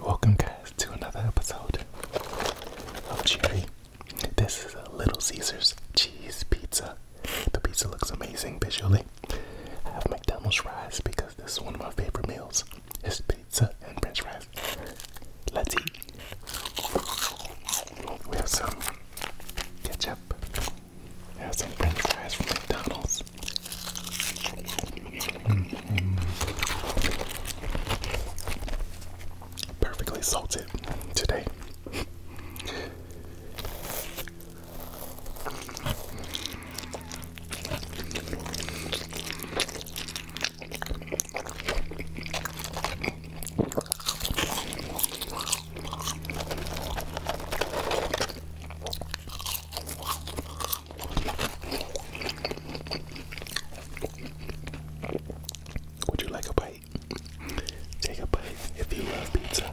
Welcome, guys, to another episode of Cherry. This is a Little Caesars cheese pizza. The pizza looks amazing visually. I have McDonald's fries because this is one of my favorite meals. It's pizza and French fries. Let's eat. We have some ketchup. I have some french fries from McDonald's. Mm-hmm. Perfectly salted today. Would you like a bite? Take a bite if you love pizza.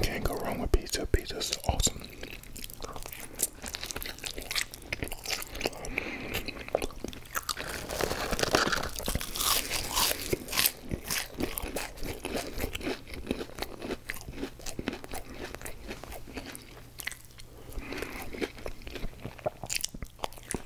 Can't go wrong with pizza. Pizza's awesome.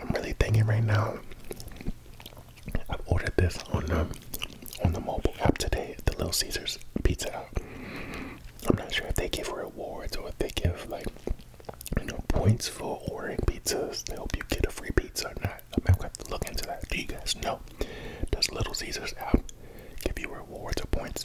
I'm really thinking right now. I've ordered this on the um, on the mobile app today the Little Caesars Pizza I'm not sure if they give rewards or if they give like you know points for ordering pizzas to help you get a free pizza or not. I'm gonna have to look into that. Do you guys know? Does Little Caesars app give you rewards or points?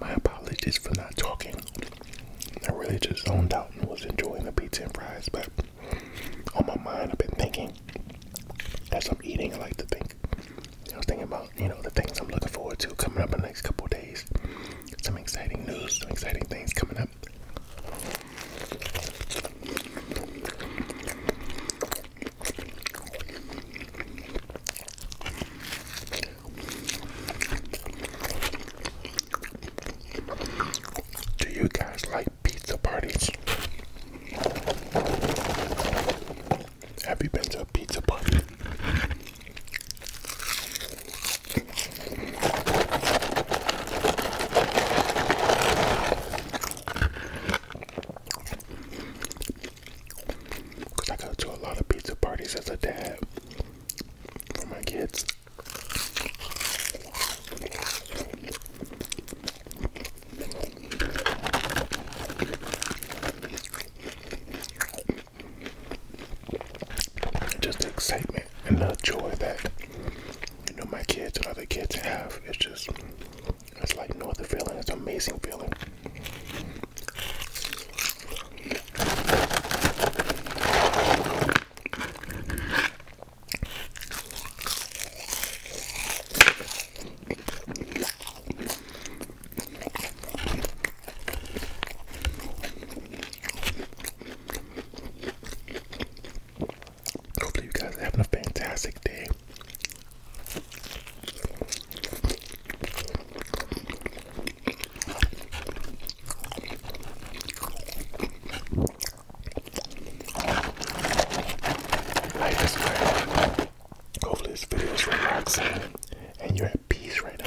My apologies for not talking. I really just zoned out and was enjoying the pizza and fries, but on my mind, I've been thinking as I'm eating, I like to think. I was thinking about, you know, the things I'm looking forward to coming up in the next couple days. Some exciting news, some exciting things coming up. Do you guys like pizza parties? Have you been to a pizza party? Cause I go to a lot of pizza parties as a dad for my kids. Just the excitement and the joy that you know my kids and other kids have. It's just it's like no other feeling. It's an amazing feeling. Hopefully, you guys are having a fantastic day. I just Hopefully, this video is relaxing and you're peas right now.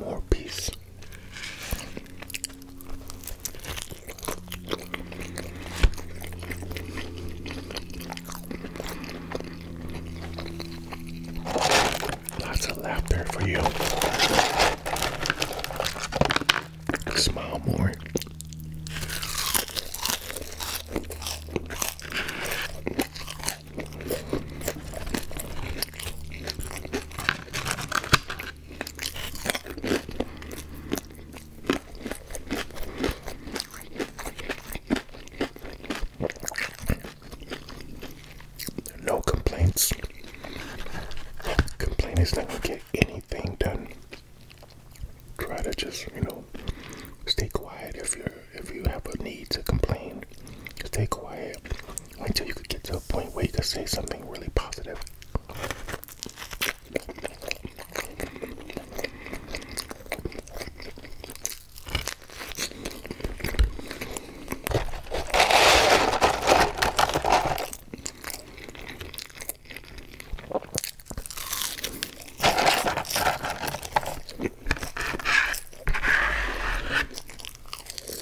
more peace. Lots of laughter for you. Smile more. No complaints. Complaint is not get anything done. Try to just, you know, stay quiet if you're if you have a need to complain. Stay quiet until you could get to a point where you could say something really positive.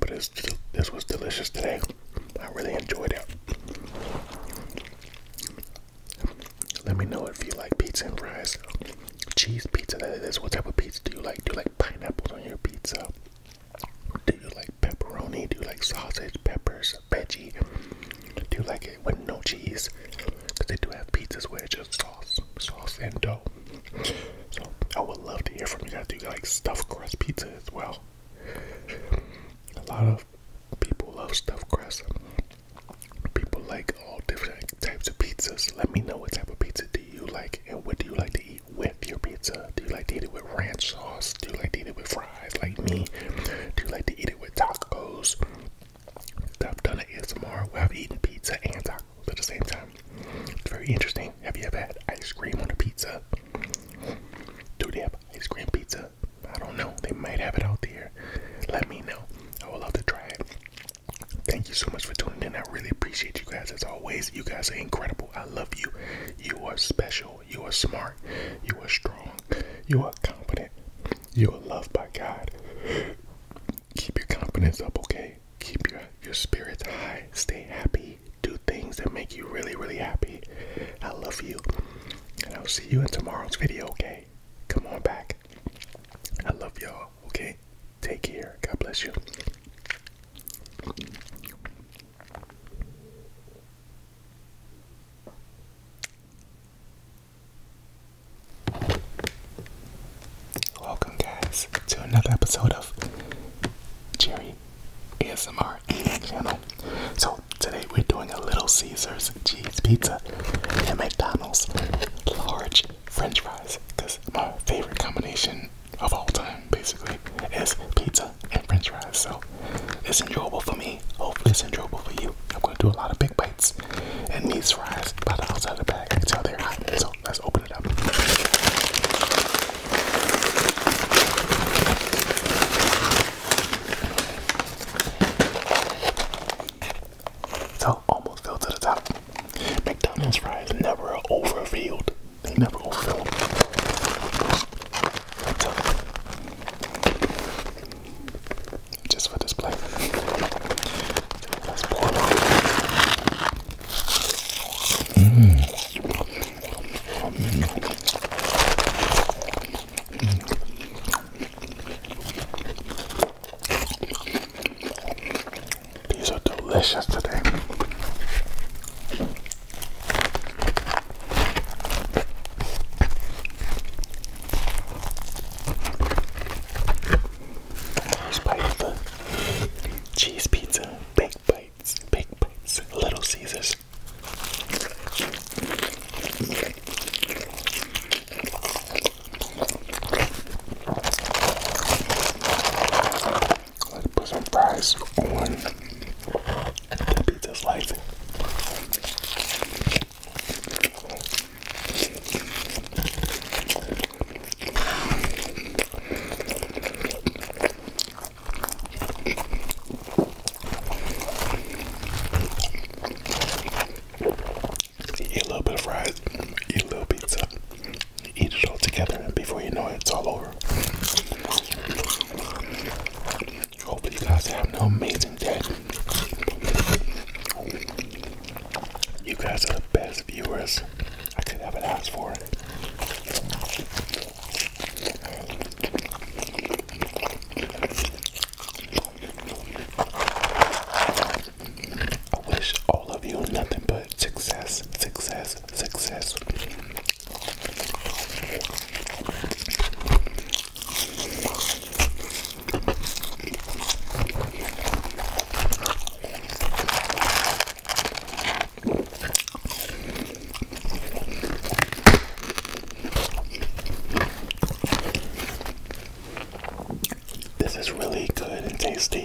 But it's, this was delicious today. I really enjoyed it. Let me know if you like pizza and fries. Cheese pizza, that is. What type of pizza do you like? Do you like pineapples on your pizza? Do you like pepperoni? Do you like sausage, peppers, veggie? Do you like it with no cheese? Because they do have pizzas where it's just sauce, sauce and dough. So I would love to hear from you guys. Do you like stuffed crust pizza as well? A lot of people love stuffed crust. People like all different types of pizzas. Let me know what type of pizza do you like and what do you like to eat with your pizza? Do you like to eat it with ranch sauce? Do you like to eat it with fries like me? Do you like to eat it with tacos? that I've done at ASMR where I've eaten pizza and tacos at the same time. It's very interesting. Have you ever had ice cream on a pizza? Do they have ice cream pizza? I don't know. They might have it out there. Let me know. I would love to try it. Thank you so much for tuning in. I really appreciate you guys as always. You guys are incredible. I love you. You are special. You are smart. You are strong. You are confident. You are loved by God keep your confidence up, okay? Keep your your spirits high. Stay happy. Do things that make you really, really happy. I love you. And I'll see you in tomorrow's video, okay? Come on back. I love y'all, okay? Take care. God bless you. Welcome, guys, to another episode of Jerry ASMR channel. So, today we're doing a Little Caesars cheese pizza and McDonald's large french fries because my favorite combination of all time basically is pizza and french fries. So, it's enjoyable for me. Hopefully, it's enjoyable for you. I'm going to do a lot of big bites bites needs these fries by the outside of the bag. I can tell they're hot, so let's open it up. So almost fell to the top. McDonald's fries never overfilled. They never overfilled just for display. let mm. These are delicious today cheese pizza, big bites, big bites, Little Caesars. Let's put some fries on the pizza slice. Eat a little bit of fries, eat a little pizza, eat it all together, and before you know it, it's all over. Hopefully, you guys have an amazing day. You guys are the best viewers I could ever ask for. I wish all of you nothing but success, success, success. This is really good and tasty.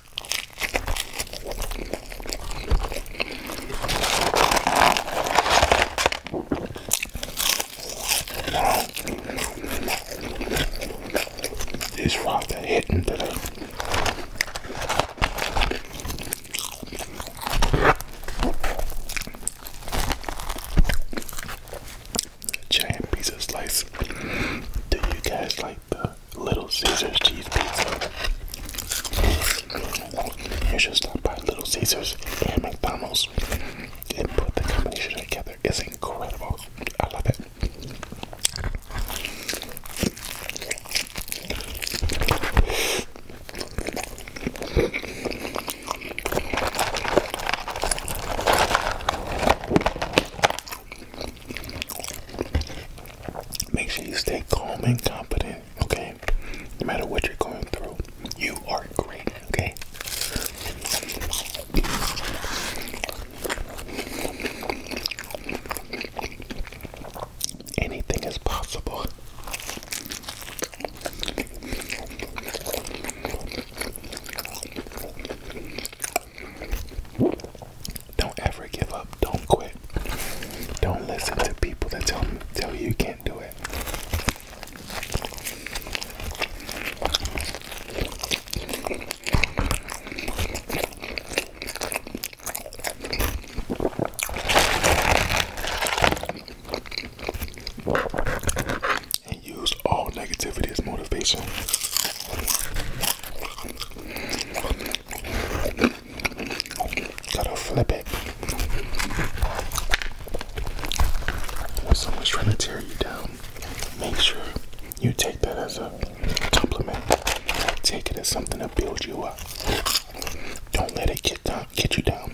This rock that hitting today. Giant pizza slice. Do you guys like the Little Caesars cheese pizza. You should stop by Little Caesars and McDonald's and put the combination together. It's incredible. I love it. Make sure you stay calm and confident, okay? No matter what you're going through, you are great, okay? Anything is possible. Don't ever give up. Don't quit. Don't listen to people that tell tell you you can't do it use all negativity as motivation. Gotta flip it. When someone's trying to tear you down, make sure you take that as a compliment. Take it as something to build you up. Don't let it get get you down.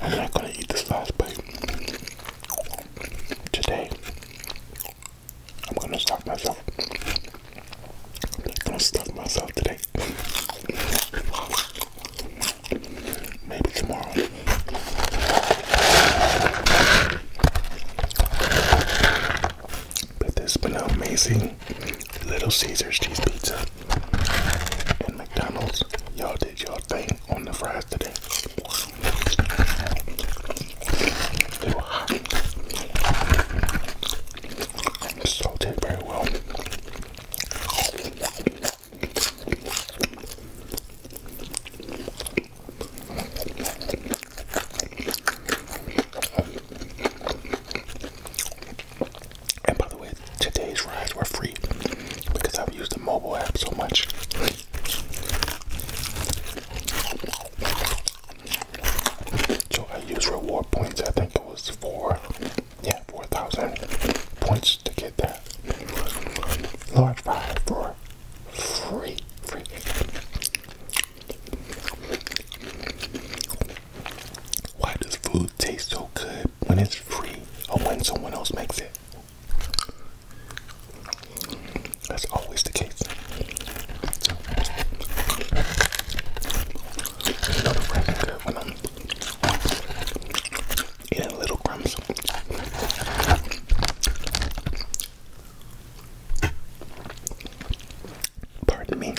I'm not gonna eat this last bite today. I'm gonna stop myself. I'm gonna stop myself today. Maybe tomorrow. But this has been amazing Little Caesars cheese pizza and McDonald's. Y'all did y'all thing on the fries today. They were hot. Salted very well. And by the way, today's rides were free because I've used the mobile app so much. So I used reward points, I think it was four, yeah, 4,000 points to get that. Large five for free, free. Why does food taste so good when it's free or when someone else makes it? That's always the case eating little crumbs. Pardon me.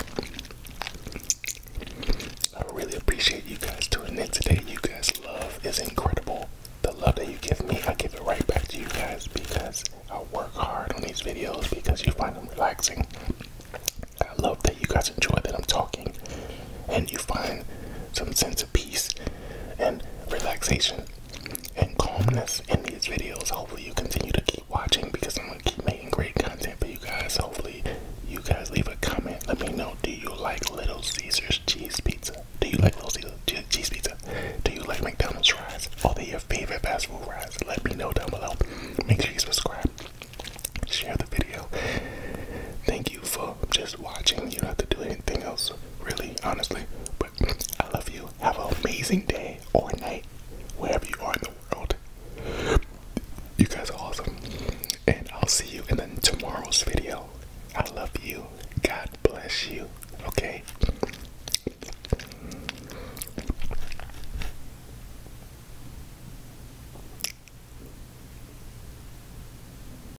I really appreciate you guys tuning in today. You guys' love is incredible. The love that you give me, I give it right back to you guys because I work hard on these videos because you find them relaxing. I love that you guys enjoy that I'm talking and you find some sense peace and relaxation and calmness in these videos. Hopefully, you continue to keep watching because I'm gonna keep making great content for you guys. Hopefully, you guys leave a comment. Let me know do you like Little Caesars cheese pizza? Do you like Little Caesars cheese pizza? Do you like McDonald's fries? All they your favorite fast food fries? Let me know down below. Make sure you subscribe, share the video. Thank you for just watching. You don't have to do anything else really, honestly. But I love you. Have an amazing day or night, wherever you are in the world. You guys are awesome. And I'll see you in the, tomorrow's video. I love you. God bless you. Okay?